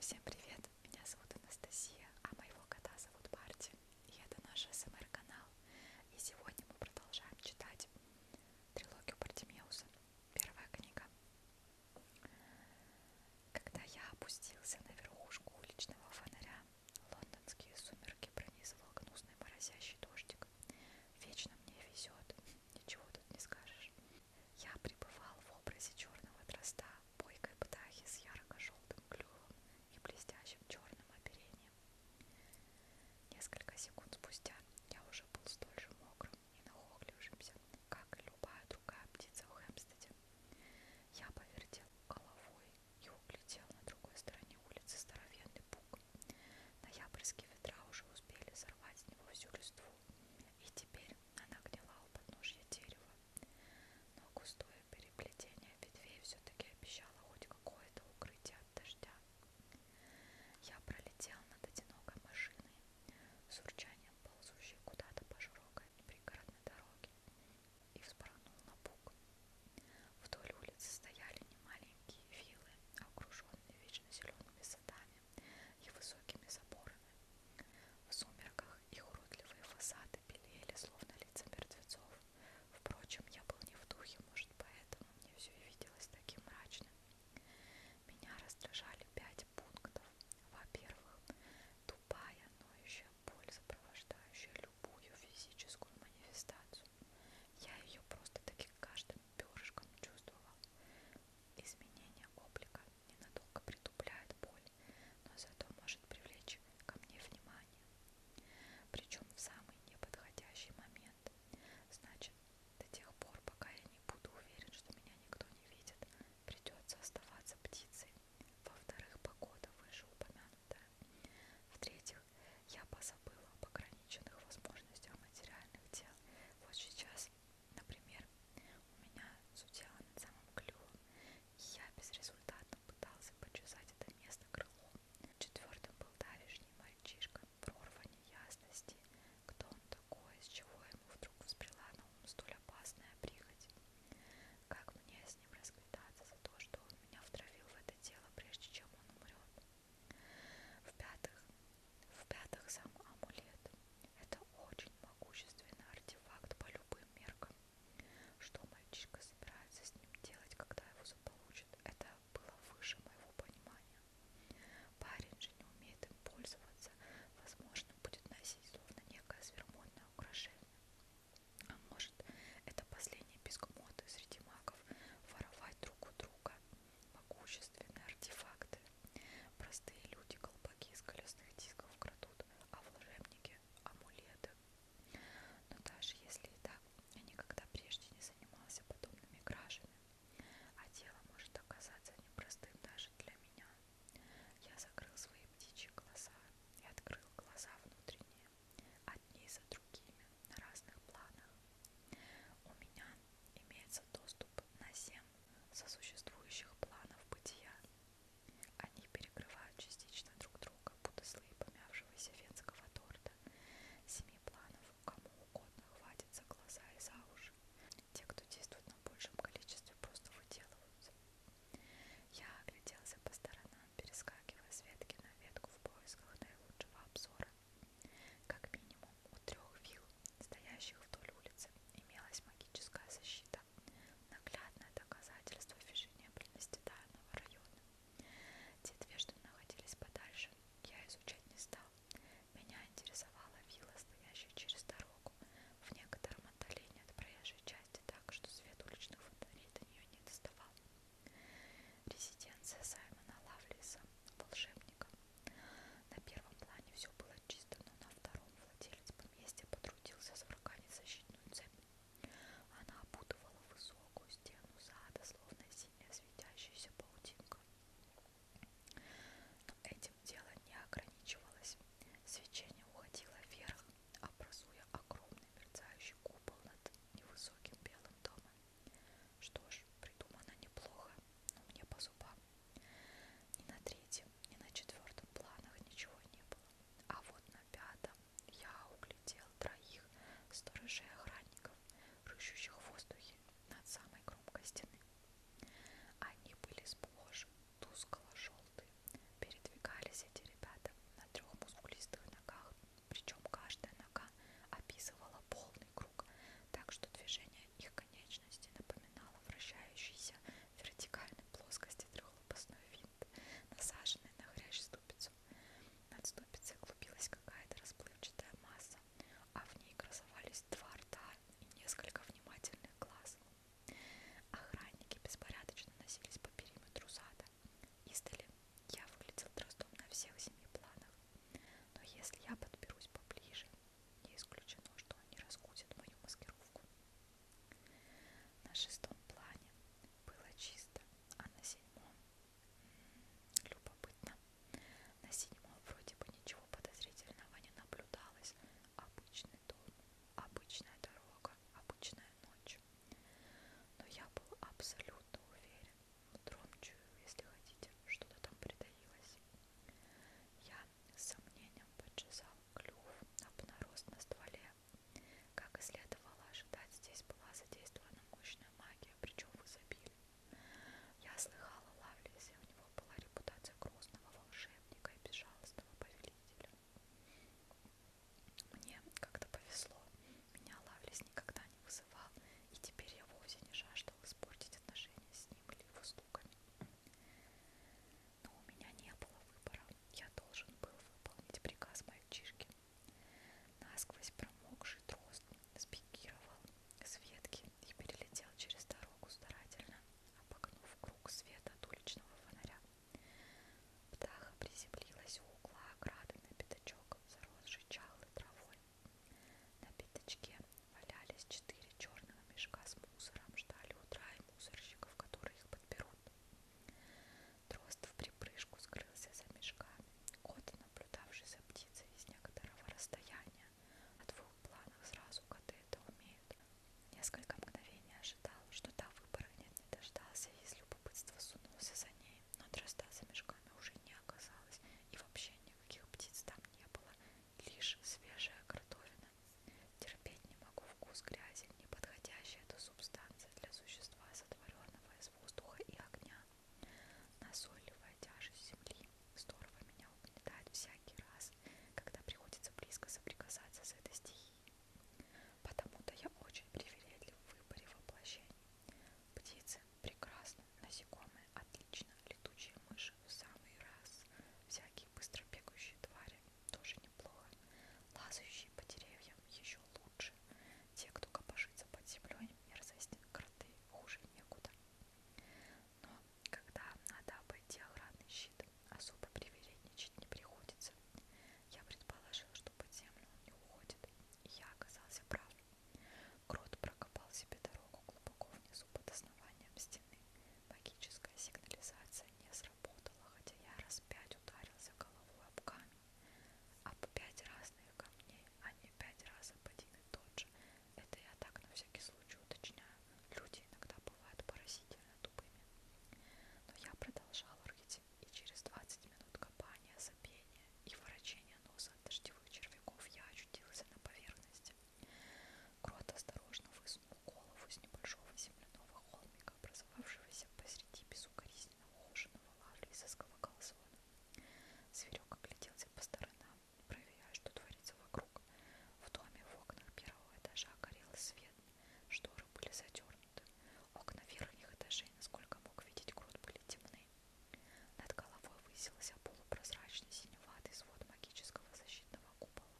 Всем привет! Меня зовут Анастасия, а моего кота зовут Барти. И это наш СМР-канал. И сегодня мы продолжаем читать трилогию Бартимеуса. Первая книга. Когда я опустился на верхушку уличного фонаря, лондонские сумерки пронизывал гнусный морозящий дождик. Вечно мне везет, ничего тут не скажешь. Я пребывал в образе черного дроста, бойкой птахи с ярко-желтым клювом и блестящим черным оперением. Несколько секунд спустя я уже был столь же мокрым и нахохлившимся, как и любая другая птица в Хэмстеде. Я повертел головой и улетел на другой стороне улицы здоровенный пук. Ноябрьские ветра уже успели сорвать с него всю листву, и теперь она гнила у подножья дерева, но густое переплетение ветвей все-таки обещало хоть какое-то укрытие от дождя. Я пролетел над одинокой машиной, с урчанием ползущей куда-то по широкой пригородной дороге, и вспорхнул на бук. Вдоль улицы стояли немаленькие виллы, окруженные вечно зелеными садами и высокими заборами. В сумерках их уродливые фасады белели, словно лица мертвецов. Впрочем, я был не в духе, может, поэтому мне все и виделось таким мрачным. Меня раздражали пять пунктов. Во-первых, тупая, ноющая боль, сопровождающая любую физическую манифестацию. Я ее просто-таки каждым перышком чувствовал. Изменение облика ненадолго притупляет боль, но зато может привлечь ко мне внимание. Причем в самый неподходящий момент. Значит, до тех пор, пока я не буду уверен, что меня никто не видит, придется оставаться птицей. Во-вторых, погода выше упомянутая. В-третьих, я позабыла об ограниченных возможностях материальных дел. Вот сейчас Например, у меня зудела над самым клювом, и я безрезультатно пытался почесать это место крылом. Четвертым был давешний мальчишка, прорва неясности, кто он такой, с чего ему вдруг взбрела на ум столь опасная прихоть. Как мне с ним расквитаться за то, что он меня втравил в это дело, прежде чем он умрет? В-пятых, в-пятых, сам амулет – это очень могущественный артефакт по любым меркам. Что мальчишка собирается с ним делать, когда его заполучит, это было выше моего понимания. Парень же не умеет им пользоваться, возможно, будет носить словно некое свермонное украшение. А может, это последний писк моды среди магов – воровать друг у друга – могущественные артефакты. Простые люди колпаки из колесных дисков крадут, а волшебники – амулеты. Но даже если и так, я никогда прежде не занимался подобными кражами, а дело может оказаться непростым даже для меня. Я закрыл свои птичьи глаза и открыл глаза внутренние, одни за другими, на разных планах. У меня имеется доступ на 7 сосуществующих планов бытия. Они перекрывают частично друг друга, будто слои помявшегося венского торта. Семи планов кому угодно хватит за глаза и за уши. Те, кто действует на большем количестве, просто выделываются. Я огляделся по сторонам, перескакивая с ветки на ветку в поисках наилучшего обзора. Как минимум у трех вилл, стоящих вдоль улицы, имелась магическая защита, наглядное доказательство фешенебельности данного района. Те две, что находились подальше, я изучать не стал. Меня интересовала вилла, стоящая через дорогу, в некотором отдалении от проезжей части, так что свет уличных фонарей до нее не доставал. Резиденция Саймона Лавлиса, волшебника, на первом плане все было чисто, но на втором владелец поместья потрудился сварганить защитную цепь. Она опутывала высокую стену сада, словно синяя светящаяся паутинка. Но этим дело не ограничивалось. Свечение уходило вверх, образуя огромный мерцающий купол над невысоким белым домом. Что ж, придумано неплохо, но мне по зубам. Ни на третьем, ни на четвертом планах ничего не было. А вот на пятом я углядел троих сторожей охранников, рыщущих в воздухе над самой кромкой стены. Они были сплошь тускло-желтые. Передвигались эти ребята на трех мускулистых ногах, причем каждая нога описывала полный круг, так что движения их конечности напоминала вращающийся в вертикальной плоскости трехлопастной винт, насаженный на хрящ ступицу. Над ступицей клубилась какая-то расплывчатая масса, а в ней красовались два рта и несколько внимательных глаз. Охранники беспорядочно носились по периметру сада. Издали я выглядел тростом на всех семи планах. Но если я подберусь поближе, не исключено, что они раскусят мою маскировку. На шестом плане было чисто, а на седьмом... Любопытно. На седьмом вроде бы ничего подозрительного не наблюдалось. Обычный дом, обычная дорога, обычная ночь. Но я был абсолютно уверен, Тромчую, если хотите, что-то там притаилось. Я с сомнением подчесал клюв обнарост на стволе. Как и следовало ожидать, здесь была задействована мощная магия, причем в изобилии. Я слыхала Лавлисе, у него была репутация грозного волшебника и безжалостного повелителя. Мне как-то повезло, меня Лавлис никогда не вызывал вызывал, и теперь я вовсе не жаждал испортить отношения с ним или его слугами. Но у меня не было выбора. Я должен был выполнить приказ мальчишки. Насквозь промокший дрозд спикировал с ветки и перелетел через дорогу старательно, обогнув круг света от уличного фонаря. Птаха приземлилась у угла ограды на пятачок, заросший чахлой травой. На пятачке валялись четыре черного мешка с мусором, ждали утра и мусорщиков, которые их подберут. Дрозд в припрыжку скрылся за мешками. Кот, наблюдавший за птицей из некоторого расстояния, о двух планах сразу коты это умеют. Несколько мгновений ожидал, что та выпорхнет, не дождался и из любопытства сунулся за ней, но дрозда за мешками уже не оказалось, и вообще никаких птиц там не было, лишь свежая кротовина. Терпеть не могу вкус грязи, не подходящая эта субстанция для существа, сотворенного из воздуха и огня. Назойливая тяжесть земли здорово меня угнетает всякий раз, когда приходится близко соприкасаться с этой стихией. Потому-то я очень привередлив в выборе воплощений. Птицы Прекрасно, насекомые, отлично, летучие мыши в самый раз, всякие быстро бегающие твари, тоже неплохо, лазающие по деревьям еще лучше, те, кто копошится под землей, мерзость, кроты, хуже некуда. Но когда надо обойти охранный щит, особо привередничать не приходится. Я предположил, что под землю он не уходит, и я оказался прав. Крот прокопал себе дорогу глубоко внизу под основанием стены. Магическая сигнализация не сработала, хотя я раз пять ударился головой об камень. Об пять разных камней, а не пять раз об один и тот же. Это я так на всякий случай уточняю. Люди иногда бывают поразительно тупыми. Но я продолжал рыть, и через 20 минут копания, забения и ворочения носа от дождевых червяков я очутился на поверхности. Крот осторожно высунул голову из небольшого земляного холмика, образовавшегося посреди безукоризненно ухоженного лагеря и сосколокал звона. Зверек огляделся по сторонам, проверяя, что творится вокруг. В доме в окнах первого этажа горел свет, шторы были затернуты. Окна верхних этажей, насколько мог видеть Крот, были темны. Над головой высился полупрозрачный синеватый свод магического защитного купола.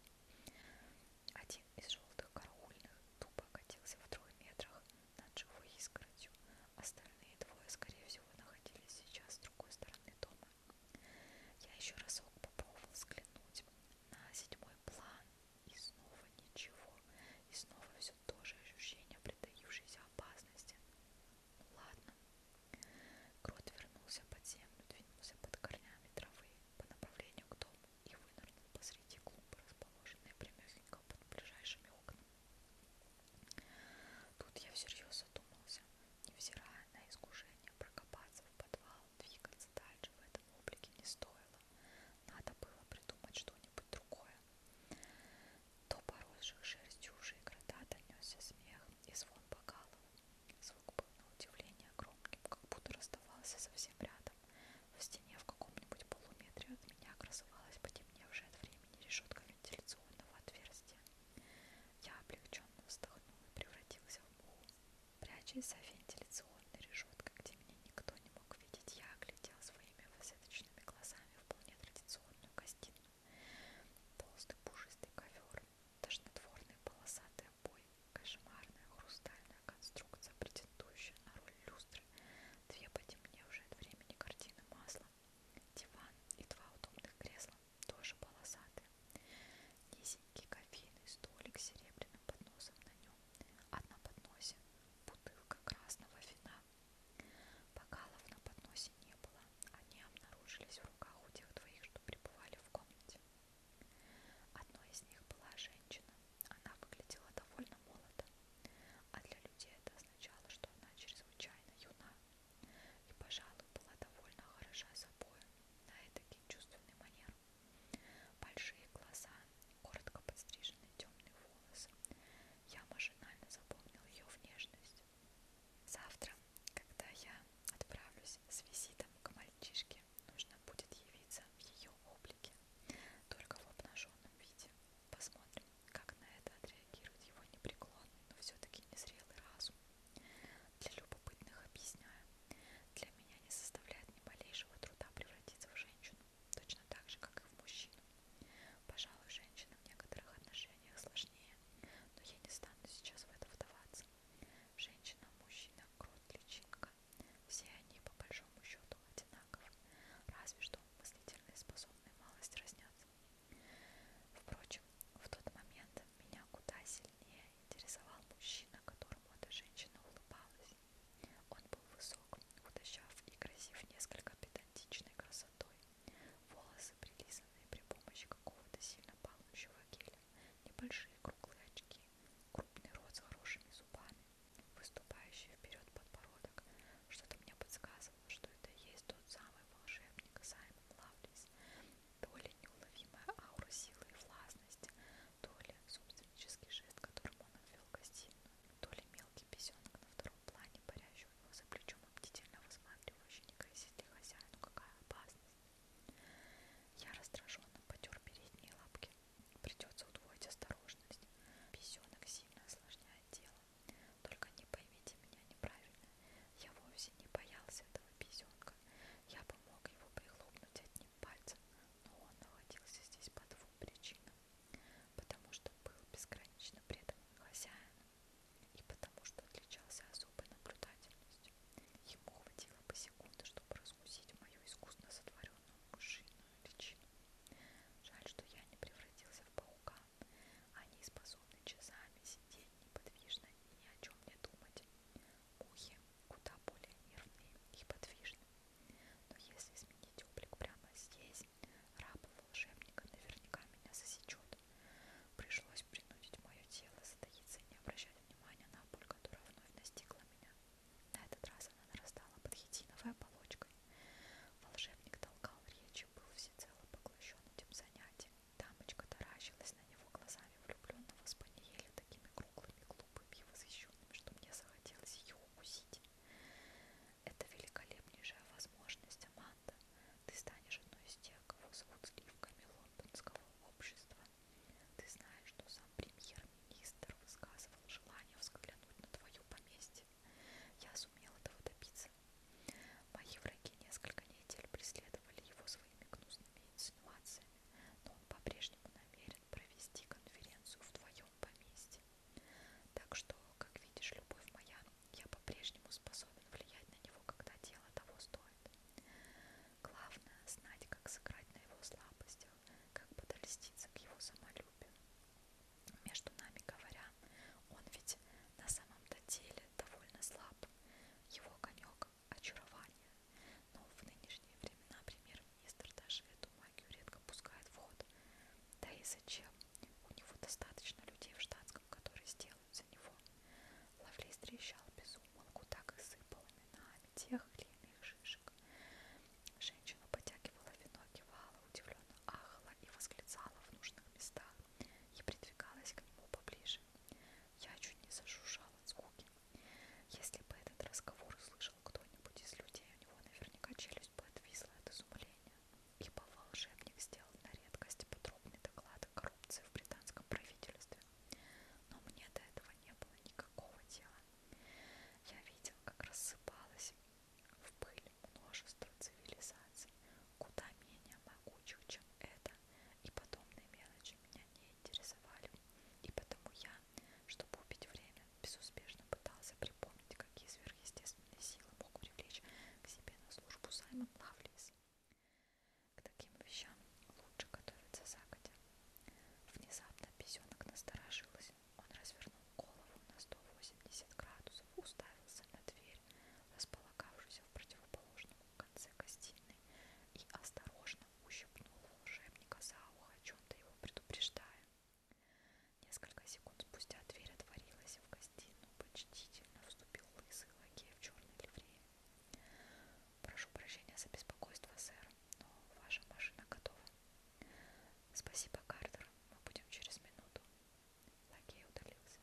Один из желтых караульных тупо катился в трех метрах над живой искоростью. Остальные двое, скорее всего, находились сейчас с другой стороны дома. Я еще разок попробовал взглянуть на седьмой план, и снова ничего, и снова все то же ощущение притаившейся опасности. Ладно. Крот вернулся под землю, двинулся под корнями травы по направлению к дому и вынырнул посреди клумбы, расположенной прямехенько под ближайшими окнами. Тут я всерьез задумался, невзирая на искушение прокопаться в подвал, двигаться дальше в этом облике не стоило. Надо было придумать что-нибудь другое. До поросших шерстью уже и крота донесся смех, и звон бокала. Звук был на удивление громким, как будто расставался совсем рядом. В стене в каком-нибудь полуметре от меня красовалась потемневшая от времени решетка вентиляционного отверстия. Я облегченно вздохнул и превратился в муху. Прячась за вентиляционной решеткой, где меня никто не мог видеть, я оглядел своими высадочными глазами вполне традиционную гостиную. Толстый пушистый ковер, тошнотворный полосатый обой, кошмарная хрустальная конструкция, претендующая на роль люстры, две потемневшие от времени картины масла, диван и два удобных кресла, тоже полосатые, низенький кофейный столик с серебряным подносом на нем, а на подносе бутылка красного вина. Бокалов на подносе не не было. Они обнаружились в руках у тех двоих, что пребывали в комнате. Одной из них была женщина. Она выглядела довольно молодо. А для людей это означало, что она чрезвычайно юна. И, пожалуй, была довольно хороша собой на эдакий чувственный манер. Большие глаза, коротко подстриженные темные волосы. Я машинально запомнил ее внешность, Завтра, когда я отправлюсь с визитом к мальчишке, нужно будет явиться в ее облике, только в обнаженном виде. Посмотрим, как на это отреагирует его непреклонный, но все-таки незрелый разум. Для любопытных объясняю, для меня не составляет ни малейшего труда превратиться в женщину, точно так же, как и в мужчину. Пожалуй, женщина в некоторых отношениях сложнее, но я не стану сейчас в это вдаваться. Женщина, мужчина, крот, личинка – все они, по большому счету, одинаковы, разве что мыслительные способные малость разнятся. Впрочем, в тот момент меня куда сильнее интересовал мужчина, которому эта женщина улыбалась. Он был высок, худощав и красив несколько педантичной красотой. Волосы прилизанные при помощи какого-то сильно пахнущего геля, небольшие круглые очки, крупный рот с хорошими зубами, выступающий вперед подбородок. Что-то мне подсказывало, что это и есть тот самый волшебник Саймон Лавлис. То ли неуловимая аура силы и властности, то ли собственнический жест, которым он обвел гостиную, то ли мелкий песенок на втором плане, парящий чувствующего его за плечом и бдительно высматривающий, не грозит ли хозяину какая опасность. Я раздраженно потер передние лапки. Придется удвоить осторожность. Песенок сильно осложняет дело. Только не поймите меня неправильно. Я вовсе не боялся этого песенка. Я бы мог его прихлопнуть одним пальцем, но он находился здесь по двум причинам. Потому что был безгранично предан хозяину и потому что отличался особой наблюдательностью. Ему хватило бы секунды, чтобы раскусить мою искусно сотворенную мышиную личину. Жаль, что я не превратился в паука. Они способны часами сидеть неподвижно и ни о чем не думать. Мухи куда более нервные и подвижны. Но если сменить облик прямо здесь, раб волшебника наверняка меня засечет. Пришлось принудить мое тело затаиться и не обращать внимания на боль, которая вновь настигла меня. На этот раз она нарастала под хитиновой оболочкой. Волшебник толкал речи, был всецело поглощен этим занятием. Дамочка таращилась на него глазами влюбленного спаниеля такими круглыми, глупыми и восхищенными, что мне захотелось ее укусить. Это великолепнейшая возможность, Аманда. Ты станешь одной из тех, кого зовут сливками лондонского общества. Ты знаешь, что сам премьер-министр высказывал желание взглянуть на твою поместье. Я сумел этого добиться. Мои враги несколько недель преследовали его своими гнусными инсинуациями, но он по-прежнему намерен провести конференцию в твоем поместье. Так что, как видишь, любовь моя, я по-прежнему способен влиять на него, когда дело того стоит. Главное — знать, как сыграть на его слабостях, как подольститься к его самолюбию. Между нами говоря, он ведь на самом-то деле довольно слаб. Его конек — очарование. Но в нынешние времена премьер-министр даже эту магию редко пускает в ход. Да и зачем? У него достаточно людей в штатском, которые сделают делают за него. Ловлей трещал без умолку, так и сыпал именами тех или иных шишек. Женщина потягивала вино, кивала, удивленно ахала и восклицала в нужных местах и придвигалась к нему поближе. Я чуть не зажужжала от скуки. Если бы этот разговор услышал кто-нибудь из людей, у него наверняка челюсть бы отвисла от изумления ибо волшебник сделал на редкость подробный доклад о коррупции в британском правительстве. Но мне до этого не было никакого дела. Я видел, как рассыпалось в пыль множество цивилизаций, куда менее могучих, чем это, и подобные мелочи меня не интересовали. И потому я, чтобы убить время, безуспешно пытался припомнить, какие сверхъестественные силы мог привлечь к себе на службу Саймон Лавлис. К таким вещам лучше готовиться загодя. Внезапно песенок насторожилась. Он развернул голову на 180 градусов, уставился на дверь, располагавшуюся в противоположном конце гостиной, и осторожно ущипнул волшебника за ухо, о чем-то его предупреждая. Несколько секунд спустя дверь отворилась, и в гостиную почтительно вступил лысый лакей в черной ливрее. «Прошу прощения за беспокойство, сэр, но ваша машина готова». «Спасибо, Картер, мы будем через минуту». Лакей удалился.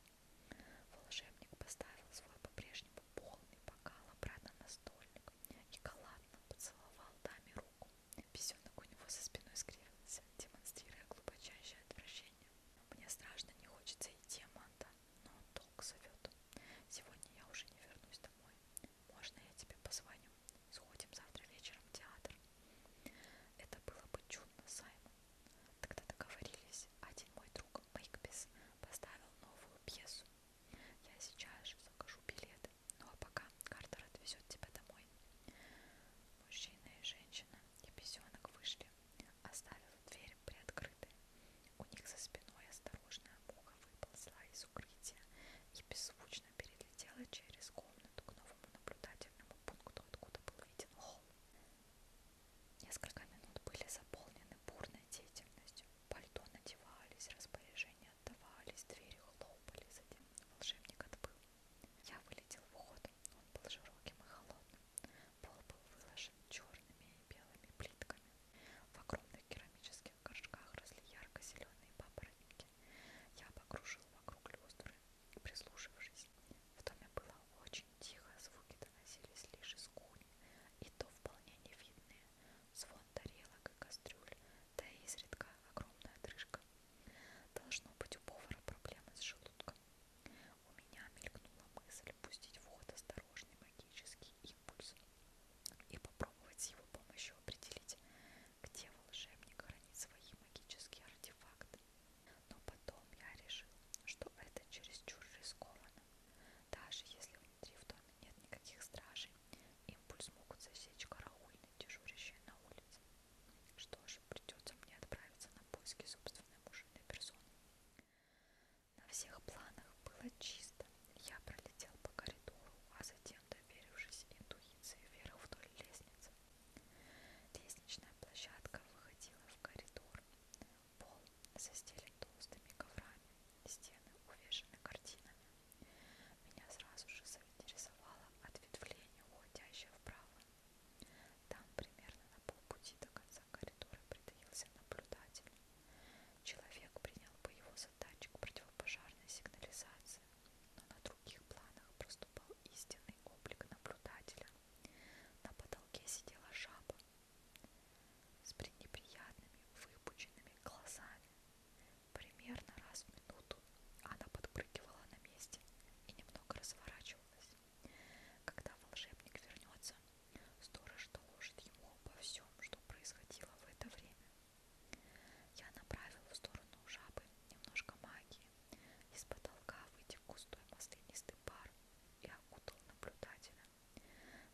Волшебник поставил свой по-прежнему полный бокал обратно на столик и галантно поцеловал даме руку. Песенок у него за спиной скривился, демонстрируя глубочайшее отвращение. «Мне страшно, не хочется идти, Аманда место, но долг зовет. Сегодня я уже не вернусь домой. Можно я тебе позвоню? Сходим завтра вечером в театр. Это было бы чудно, Саймон. Тогда договорились. Один мой друг, Мейкбис, поставил новую пьесу. Я сейчас же закажу билеты. Ну а пока Картер отвезет тебя домой. Мужчина и женщина и песенок вышли Оставив дверь приоткрытой, у них за спиной осторожная муха выползла из укрытия и беззвучно перелетела через комнату к новому наблюдательному пункту, откуда был виден холл. Несколько минут были заполнены бурной деятельностью. Пальто надевались, распоряжения отдавались, двери хлопали, затем волшебник отбыл. Я вылетел в уход, он был широким и холодным. Пол был выложен черными и белыми плитками. В огромных керамических горшках росли ярко-зеленые папоротники. Я покружил вокруг люстры, прислушившись. В доме было очень тихо, звуки доносились лишь из кухни, и то вполне невидные. Звон тарелок и кастрюль, да и изредка огромная отрыжка. Должно быть у повара проблемы с желудком. У меня мелькнула мысль пустить в ход осторожный магический импульс и попробовать с его помощью определить, где волшебник хранит свои магические артефакты. Но потом я решил, что это чересчур рискованно. Даже если внутри в доме нет никаких стражей, импульс могут засечь караульные, дежурящие на улице. Что ж, придется мне отправиться на поиски собственной мужественной персоны. На всех планах было чисто. Я пролетел по коридору, а затем, доверившись интуиции, вверх вдоль лестницы. Лестничная площадка выходила в коридор. Пол застелен толстыми коврами, стены увешаны картинами. Меня сразу же заинтересовало ответвление, уходящее вправо. Там, примерно на полпути до конца коридора, притаился наблюдатель. Человек принял бы его за датчик противопожарной сигнализации, но на других планах проступал истинный облик наблюдателя. На потолке сидела жаба с пренеприятными выпученными глазами. Примерно раз в минуту она подпрыгивала на месте и немного разворачивалась. Когда волшебник вернется, сторож доложит ему обо всем, что происходило в это время. Я направила в сторону жабы немножко магии. Из потолка вытек густой маслянистый пар и окутал наблюдателя.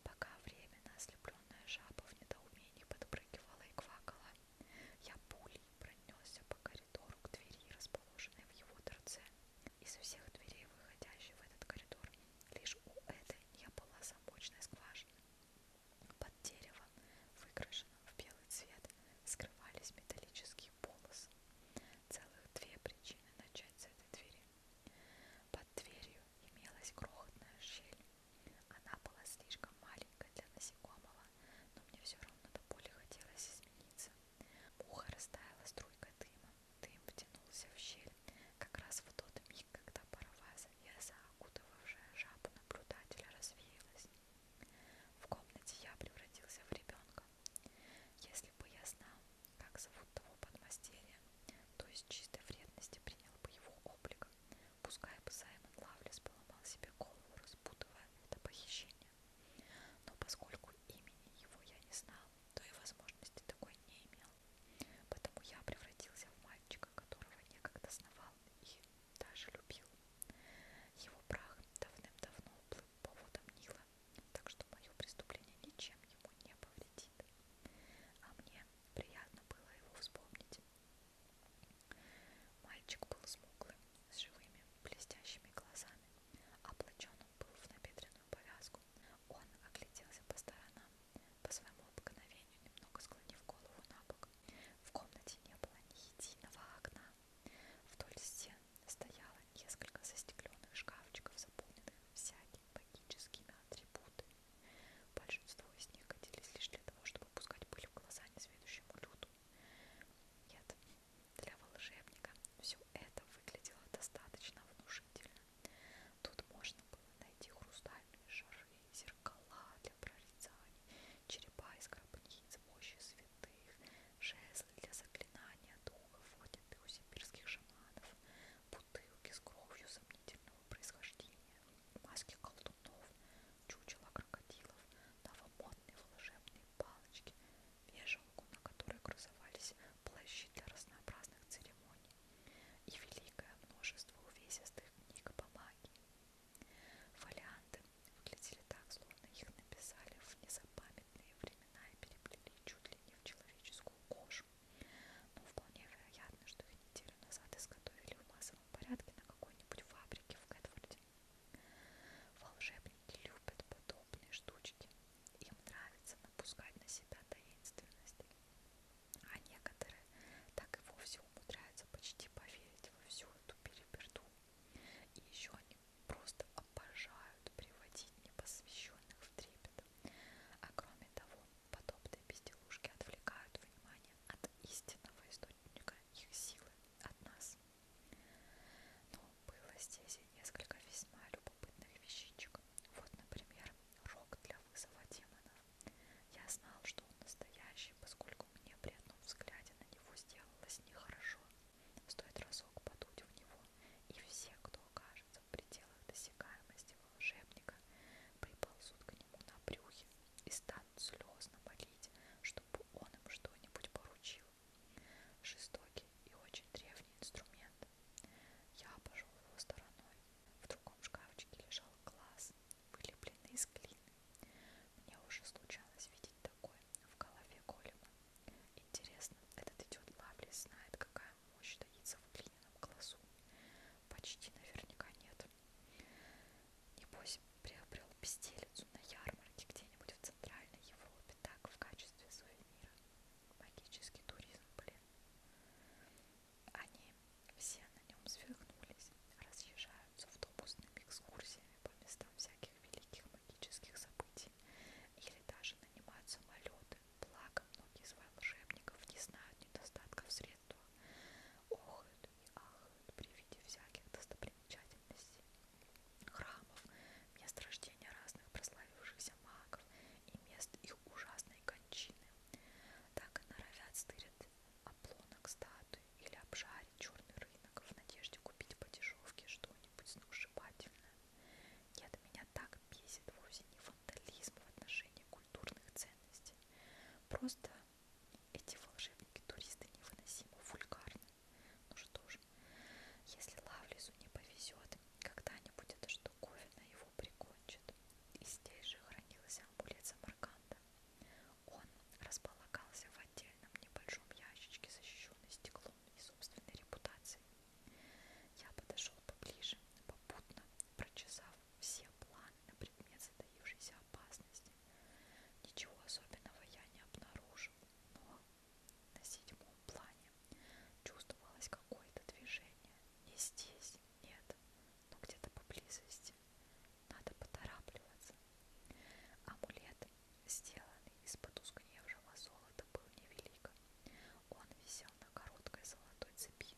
Пока временно ослепленная жаба в недоумении подпрыгивала и квакала, я пулей пронесся по коридору к двери, расположенной в его торце. Из всех дверей, выходящих в этот коридор, лишь у этой не была замочной скважины. Под деревом, выкрашенным в белый цвет, скрывались металлические полосы. Целых две причины начать с этой двери. Под дверью имелась крохотная щель. Она была слишком маленькой для насекомого, но мне все равно до боли хотелось измениться. Муха растаяла струйкой дыма, Дым втянулся в щель как раз в тот миг, когда паровая завеса, окутывавшая жабу наблюдателя, развеялась. В комнате я превратился в ребенка. Если бы я знал, как зовут того подмастерья, то из чистой вредности принял бы его облик. Пускай бы Саймон Лавлес поломал себе голову, распутывая это похищение. Но поскольку имени его я не знал, то и возможности такой не имел. Потому я превратился в мальчика, которого некогда сновал и даже любил. Его прах давным-давно плыл по водам Нила, так что мое преступление ничем ему не повредит. А мне приятно было его вспомнить. Мальчик был смуглым, с живыми, блестящими глазами. Облачен он был в набедренную повязку, он огляделся по сторонам, по своему обыкновению немного склонив голову на бок. В комнате не было ни единого окна. Вдоль стен стояло несколько застекленных шкафчиков, заполненных всякими магическими атрибутами. Большинство из них годились лишь для того, чтобы пускать пыль в глаза несведущему люду. Нет, для волшебника все это выглядело достаточно внушительно. Тут можно было найти хрустальные шары, зеркала для прорицаний, черепа из гробниц, мощи святых, жезлы для заклинания духов, отнятых у сибирских шаманов, бутылки с кровью сомнительного происхождения, маски колдунов, чучела крокодилов, новомодные волшебные палочки, вешалку, на которой красовались плащи для разнообразных церемоний и великое множество увесистых книг по магии. Фолианты выглядели так, словно их написали в незапамятные времена и переплели чуть ли не в человеческую кожу, но вполне вероятно, что их неделю назад изготовили в массовом порядке на какой-нибудь фабрике в Кэтфорде. Волшебники любят подобные штучки, им нравится напускать на себя таинственность. А некоторые так и вовсе умудряются почти поверить во всю эту переберду. И еще они просто обожают приводить непосвященных в трепет. А кроме того, подобные безделушки отвлекают внимание от истинного источника их силы, от нас. Но ну, было здесь и несколько весьма любопытных вещичек. Вот, например, рог для вызова демонов. Я знал, что он настоящий, поскольку мне при одном взгляде на него сделалось нехорошо. Стоит разок подуть в него, и все, кто окажется в пределах досягаемости волшебника, приползут к нему на брюхе и станут слезно молить, чтобы он им что-нибудь поручил любил. Жестокий и очень древний инструмент. Я обошел его стороной. В другом шкафчике лежал глаз, вылепленный из глины. Мне уже случалось видеть такое в голове голема. Интересно, этот идет Лавлис знает, какая мощь таится в глиняном глазу. Почти наверняка нет. Небось, приобрел пистелицу на ярмарке где-нибудь в Центральной Европе так в качестве сувенира магический туризм, блин. Они все на нем свихнулись, разъезжаются автобусными экскурсиями по местам всяких великих магических событий или даже нанимают самолеты. Благо, многие из волшебников не знают недостатков в средствах, охают и ахают при виде всяких достопримечательностей храмов, мест рождения разных прославившихся магов и мест их ужасной кончины. Так норовят стырят оплонок статуи или обжарить черный рынок в надежде купить по дешевке что-нибудь сногсшибательное. Нет, меня так бесит вовсе не фантализм в отношении культурных ценностей. Просто эти волшебники-туристы невыносимо вульгарны. Ну что ж, муж. Если Лавлису не повезет, когда-нибудь эта штуковина его прикончит. И здесь же хранилась амулет Самарканда. Он располагался в отдельном небольшом ящичке, защищенный стеклом и собственной репутацией. Я подошел поближе, попутно прочесав все планы на предмет затаившейся опасности. Ничего особенного я не обнаружил, но на седьмом плане чувствовалось какое-то движение. Не здесь, нет, но где-то поблизости. Надо поторапливаться. Амулет, сделанный из потускневшего золота, был невелик. Он висел на короткой золотой цепи.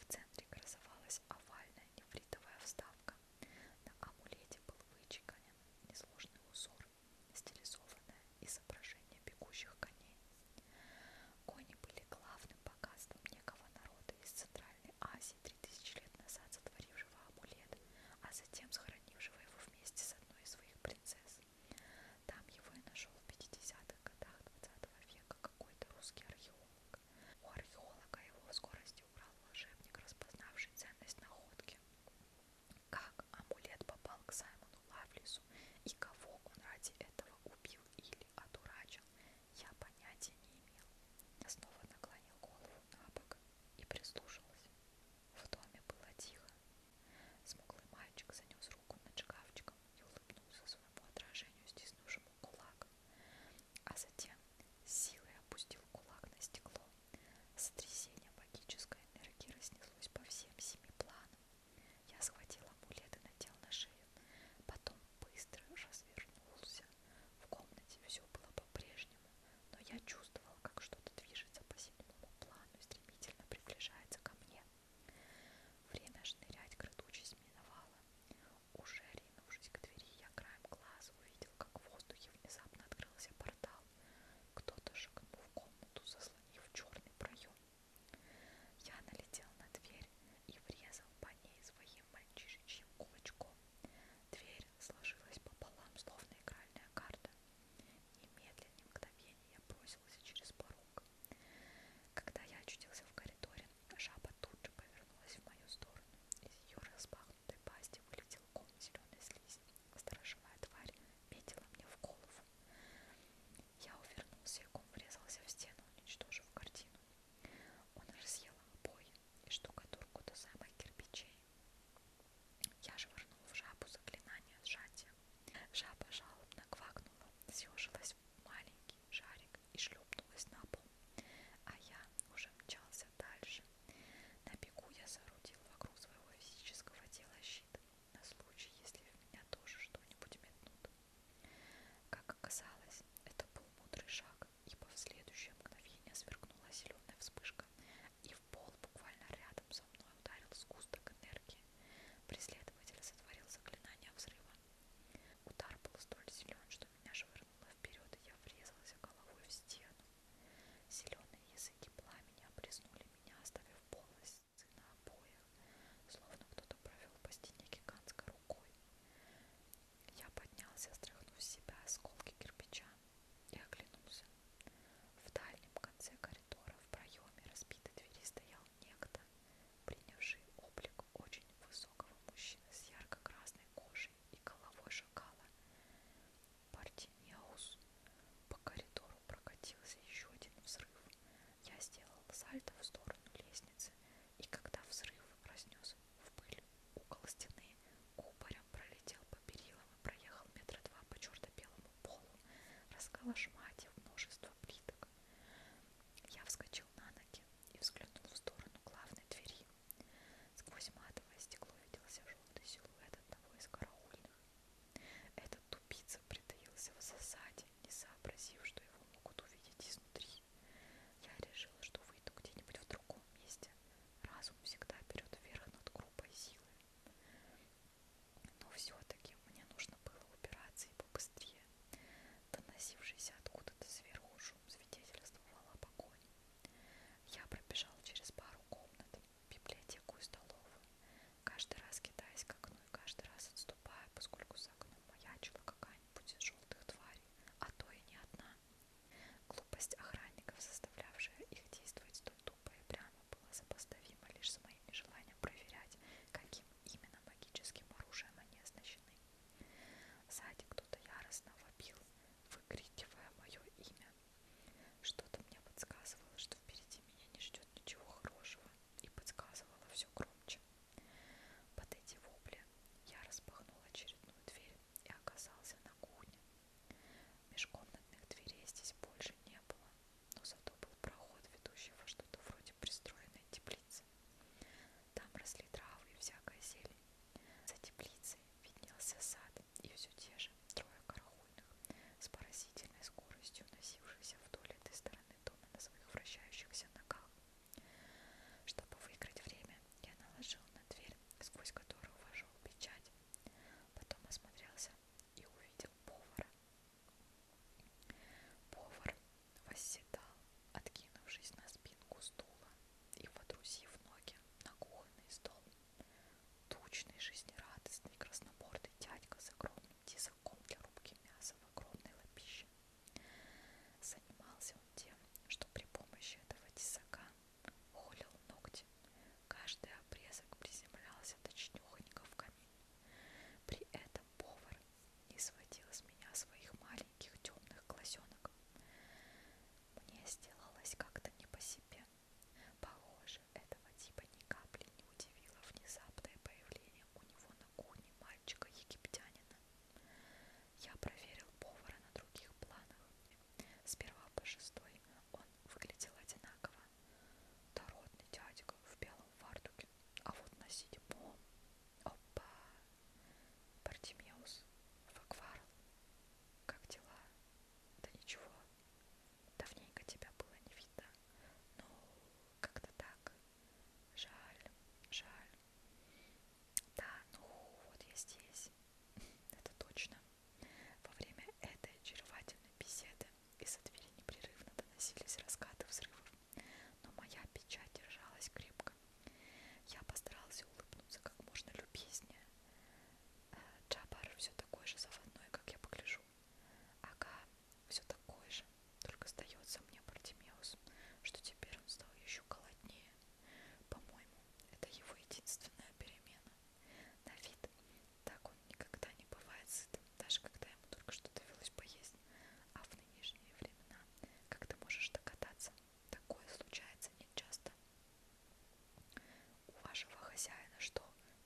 В центре красовалась овальная нефритовая вставка. На амулете был вычеканен несложный узор стилизованное изображение бегущих коней. Кони были главным богатством некого народа из Центральной Азии 3000 лет назад сотворившего амулет, а затем схоронившего его вместе с одной из своих принцесс. Там его и нашел в 50-х годах 20 века какой-то русский археолог. У археолога его в скорости убрал волшебник, распознавший ценность находки. Как амулет попал к Саймону Лавлису и кого он ради этого убил или одурачил, я понятия не имел. Я снова наклонил голову на бок и прислушался. В доме было тихо. Смуглый мальчик занес руку над шкафчиком и улыбнулся своему отражению, стиснувшему кулак. А затем с силой опустил кулак на стекло. Сотрясение магической энергии разнеслось по всем семи планам. Я схватил амулет и надел на шею, потом быстро развернулся. В комнате все было по-прежнему, но я чувствовал, как что-то движется по седьмому плану и стремительно приближается ко мне. Время шнырять к ртучесть миновало. Уже ринувшись к двери, я краем глаза увидел, как в воздухе внезапно открылся портал зал. Кто-то шагнул в комнату, заслонив черный проем. Я налетел на дверь и врезал по ней своим мальчишечьим кулачком. Дверь сложилась пополам, словно игральная карта. Немедленно мгновение я бросился через порог. Когда я очутился в коридоре, жаба тут же повернулась в мою сторону. Из ее распахнутой пасти вылетел ком зеленой слизи. Сторожевая тварь метила мне в голову. Я увернулся и ком врезался в стену, уничтожив картину. Он разъел обои и штукатурку до самых кирпичей. Я же вернул в жабу заклинание сжатия. Жаба жалобно квакнула, съежилась в маленький шарик и шлепнулась на пол. А я уже мчался дальше. На бегу я соорудил вокруг своего физического тела щит на случай, если в меня тоже что-нибудь метнут. Как оказалось, это был мудрый шаг, ибо в следующее мгновение сверкнула зеленая вспышка, и в пол буквально рядом со мной ударил сгусток энергии. Преследователь сотворил заклинание взрыва. Удар был столь силен, что меня швырнуло вперед, и я врезался головой в стену. Зеленые языки пламени обрезнули меня, оставив полость носы на обоях, словно кто-то провел по стене гигантской рукой. Я поднялся, стряхнув с себя осколки кирпича и оглянулся. В дальнем конце коридора в проеме разбитой двери стоял некто, принявший облик очень высокого мужчины с ярко-красной кожей и головой шакала. Парти Мяус. По коридору прокатился еще один взрыв. Я сделал сальто в сторону лестницы, и когда взрыв разнес в пыль угол стены, кубарем пролетел по перилам и проехал метра два по черно-белому полу, расколошматив множество плиток. Я вскочил на ноги и взглянул в сторону главной двери. Сквозь матовое стекло виделся желтый силуэт одного из караульных. Это этот тупица притаился в засаде, не сообразив, что его могут увидеть изнутри. Я решила, что выйду где-нибудь в другом месте. Разум всегда берет верх над группой силы. Но все-таки мне нужно было убираться и побыстрее. Доносившийся откуда-то сверху шум свидетельствовал о погоне. Я пробежал через пару комнат, библиотеку и столовую, каждый раз кидаясь к окну и каждый раз отступая, поскольку за окном маячила какая-нибудь из желтых тварей, а то и не одна. Глупость охранников, заставлявшая их действовать то тупо и прямо, была сопоставима лишь с моим желанием проверять, каким именно магическим оружием они оснащены. Сзади кто-то яростно вопил, выкрикивая мое имя, что-то мне подсказывало, что впереди меня не ждет ничего хорошего, и подсказывало все громче. Под эти вопли я распахнул очередную дверь и оказался на кухне. Межкомнатных дверей здесь больше не было, но зато был проход, ведущий во что-то вроде пристроенной теплицы. Там росли травы и всякая зелень. За теплицей виднелся сад и все те же экипаже трое карахульных с поразительной скоростью, носившихся вдоль этой стороны дома на своих вращающихся ногах. Чтобы выиграть время, я наложил на дверь, сквозь которую вошел печать. Потом осмотрелся и увидел повара. Повар восседал, откинувшись на спинку стула и водрузив ноги на кухонный стол. Тучный, жизнерадостный, краснобордый дядька с огромным тесаком для рубки мяса в огромной лапище. Занимался он тем, что при помощи этого тесака холил ногти. Каждый обрезок приземлялся точнёхонько в камин. При этом повар не сводил из меня своих маленьких темных глазенок. Мне сделалось как-то не по себе. Похоже, этого типа ни капли не удивило внезапное появление у него на кухне мальчика-египтянина. Я проверил повара на других планах. С первого по шестой он выглядел одинаково. Дородный дядька в белом фартуке, а вот на седьмом... Опа! Бартимеус, в акварел. Как дела? Да ничего. Давненько тебя было не видно. Ну, как-то так. Жаль, жаль. Да, ну вот я здесь. Это точно. Во время этой очаровательной беседы из-за двери непрерывно доносились раскаты взрывов, но моя печать держалась крепко. Я постарался улыбнуться как можно любезнее. Э, Джабар все такой же заводной, как я погляжу вижу. Ага, все такой же, только сдается мне Бартимеус, что теперь он стал еще голоднее. По-моему, это его единственная перемена. На вид так он никогда не бывает сытым, даже когда ему только что довелось поесть. А в нынешние времена, как ты можешь догадаться, такое случается нечасто у вашего хозяина, что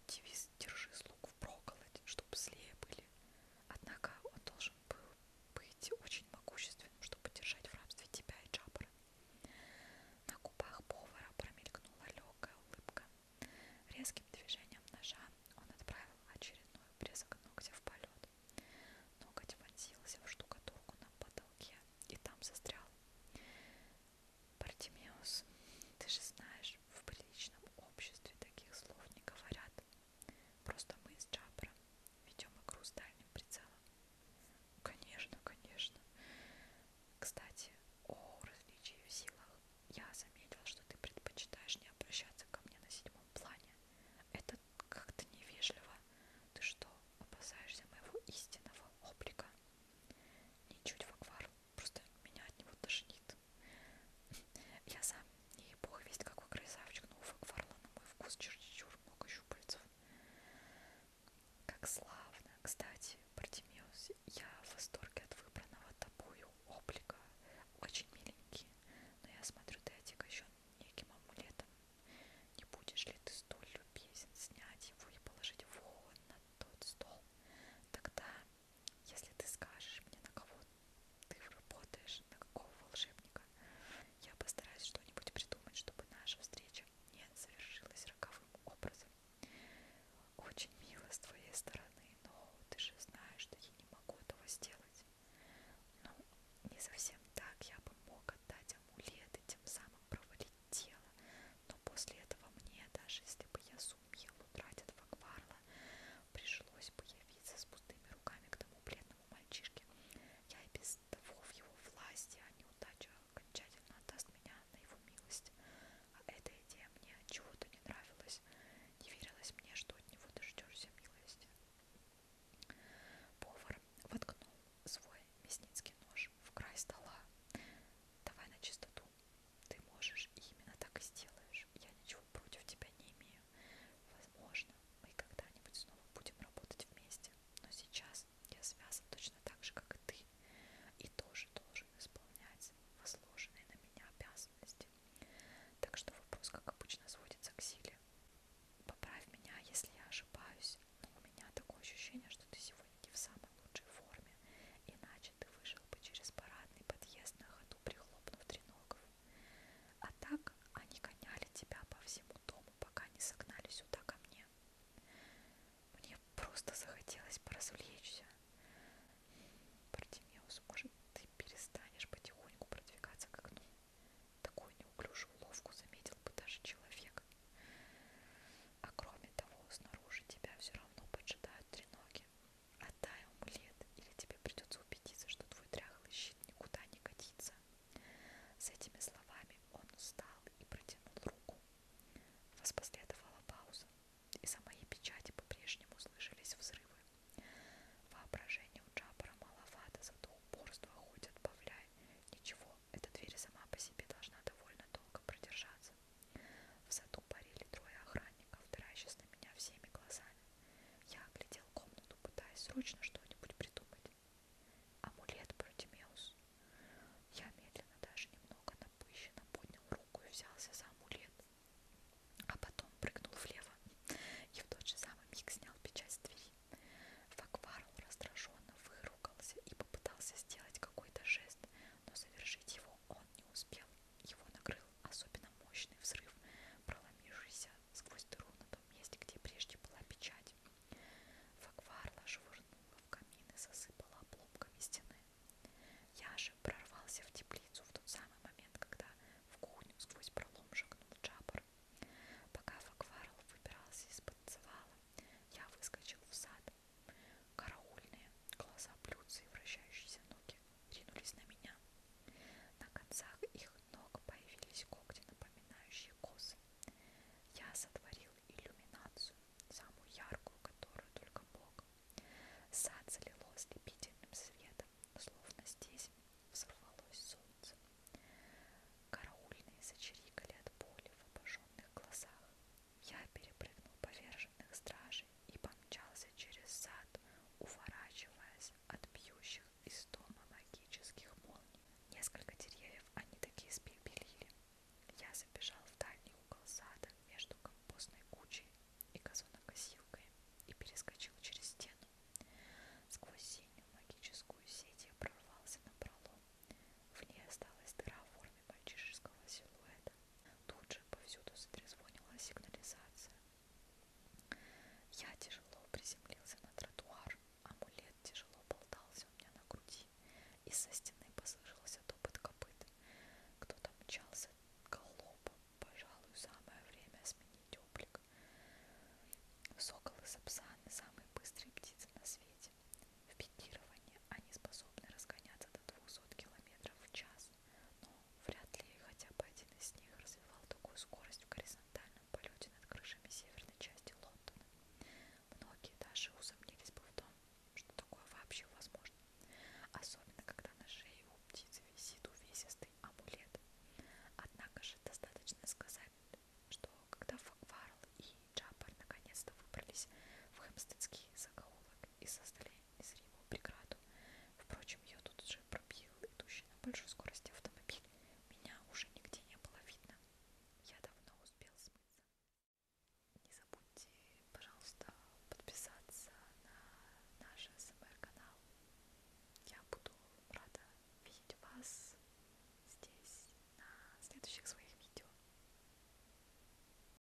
девиз «Держи слуг в проколоть», чтобы злее были. Однако он должен был быть очень могущественным, чтобы держать в рабстве тебя и Джаббара. На губах повара промелькнула легкая улыбка. Резким движением ножа он отправил очередной обрезок ногтя в полет. Ноготь вонзился в штукатурку на потолке и там застрял. Партимеус, ты же знаешь, в приличном обществе таких слов не говорят. Просто мы с Джабром ведем игру с дальним прицелом. Конечно, конечно. Кстати, о различии в силах. Я заметила, что ты предпочитаешь не обращаться ко мне на седьмом плане. Это как-то невежливо. Ты что, опасаешься моего истинного облика? Ничуть в аквар просто меня от него тошнит. Я сам не бог весть какой красавчик, но у Фарла на мой вкус чересчур много щупальцев. Как славно! Кстати, Бартимеус, я в восторге от выбранного тобою облика. Очень миленький, но я смотрю, ты отягощен неким амулетом. Не будешь ли ты столь любезен снять его и положить вон на тот стол? Тогда если ты скажешь мне, на кого ты работаешь, на какого волшебника, я постараюсь что-нибудь придумать, чтобы наша встреча не совершилась роковым образом. Очень мило с твоей стороны, но ты же знаешь, что я не могу этого сделать. Ну, не совсем так. Я бы мог отдать амулет и тем самым провалить тело, но после этого мне, даже если бы я сумье лутратят Факварла. Пришлось бы явиться с пустыми руками к тому бледному мальчишке. Я и без того в его власти, а неудача окончательно отдаст меня на его милость. А эта идея мне чего-то не нравилась. Не верилось мне, что от него дождешься милости. Повар воткнул свой мясницкий нож в край стола. Давай на чистоту работу. Ты можешь, и именно так и сделаешь. Я ничего против тебя не имею. Возможно, мы когда-нибудь снова будем работать вместе. Но сейчас я связан точно так же, как и ты. И тоже должен исполнять возложенные на меня обязанности. Так что вопрос, как обычно, сводится к силе. Поправь меня, если я ошибаюсь. Но у меня такое ощущение, что ты сегодня не в самой лучшей форме, иначе ты вышел бы через парадный подъезд на ходу, прихлопнув треногов. А так они гоняли тебя по всему дому, пока не согнали сюда ко мне. Мне просто захотелось поразвлечься. Партимеус, может, ты перестанешь потихоньку продвигаться к окну? Такую неуклюжую уловку заметил бы даже человек. А кроме того, снаружи тебя все равно поджидают треноги руки. Отдай амулет, или тебе придется убедиться, что твой дряхлый щит никуда не годится. С этими словами он встал и протянул руку. Воспоследовала пауза, и за моей печати по-прежнему слышались взрывы. Воображение у Джабара маловато, зато упорство хоть отбавляй. Ничего, эта дверь сама по себе должна довольно долго продержаться солнце. В саду парили трое охранников, таращась на меня всеми глазами. Я оглядел комнату, пытаясь срочно что-нибудь придумать. Амулет Протимеус. Я медленно, даже немного напыщенно поднял руку и взялся за амулет. А потом прыгнул влево и в тот же самый миг снял печать с двери. Факварл раздраженно выругался и попытался сделать какой-то жест, но совершить его он не успел. Его накрыл особенно мощный взрыв, проломившийся сквозь дыру на том месте, где прежде была печать. Факварла швырнула в камин и засыпала обломками стены. Я же прорвался в теплицу в тот самый момент, когда в кухню сквозь пролом шагнул Джабар. Пока Факварл выбирался из-под завала, я выскочил в сад Караульные, глаза блюдца и вращающиеся ноги ринулись на меня. На концах их ног появились когти, напоминающие косы. Я сотворил иллюминацию, самую яркую, которую только мог. Сад залило ослепительным светом, словно здесь взорвалось солнце. Караульные зачирикали от боли в обожженных глазах. Я перепрыгнул поверх таможенных стражей и помчался через сад, уворачиваясь от бьющих из дома магических молний. Несколько деревьев они такие спепелили. Я забежал в дальний угол сада между компостной кучей и газонокосилкой и перескочил через стену. Сквозь синюю магическую сеть я прорвался на пролом. В ней осталась дыра в форме мальчишеского силуэта. Тут же повсюду затрезвонила сигнализация. Я тяжело приземлился на тротуар, амулет тяжело болтался у меня на груди, и со стены послышался топот копыт. Кто-то мчался галопом, пожалуй, самое время сменить облик. Сокол и сапсан – самые быстрые птицы на свете. В пикировании они способны разгоняться до 200 км в час раз, но вряд ли хотя бы один из них развивал такую скорость в горизонтальном полете над крышами северной части Лондона. Многие даже усомнились бы в том, что такое вообще возможно, особенно когда на шее у птицы висит увесистый амулет. Однако же достаточно сказать, что когда Факварл и Джапар наконец-то выбрались в хэмстедский закоулок, и создали незримую преграду. Впрочем, ее тут же пробил идущий на большой скорости автомобиль. Меня уже нигде не было видно. Я давно успел смыться. Не забудьте, пожалуйста, подписаться на наш СМР-канал. Я буду рада видеть вас здесь на следующих своих видео.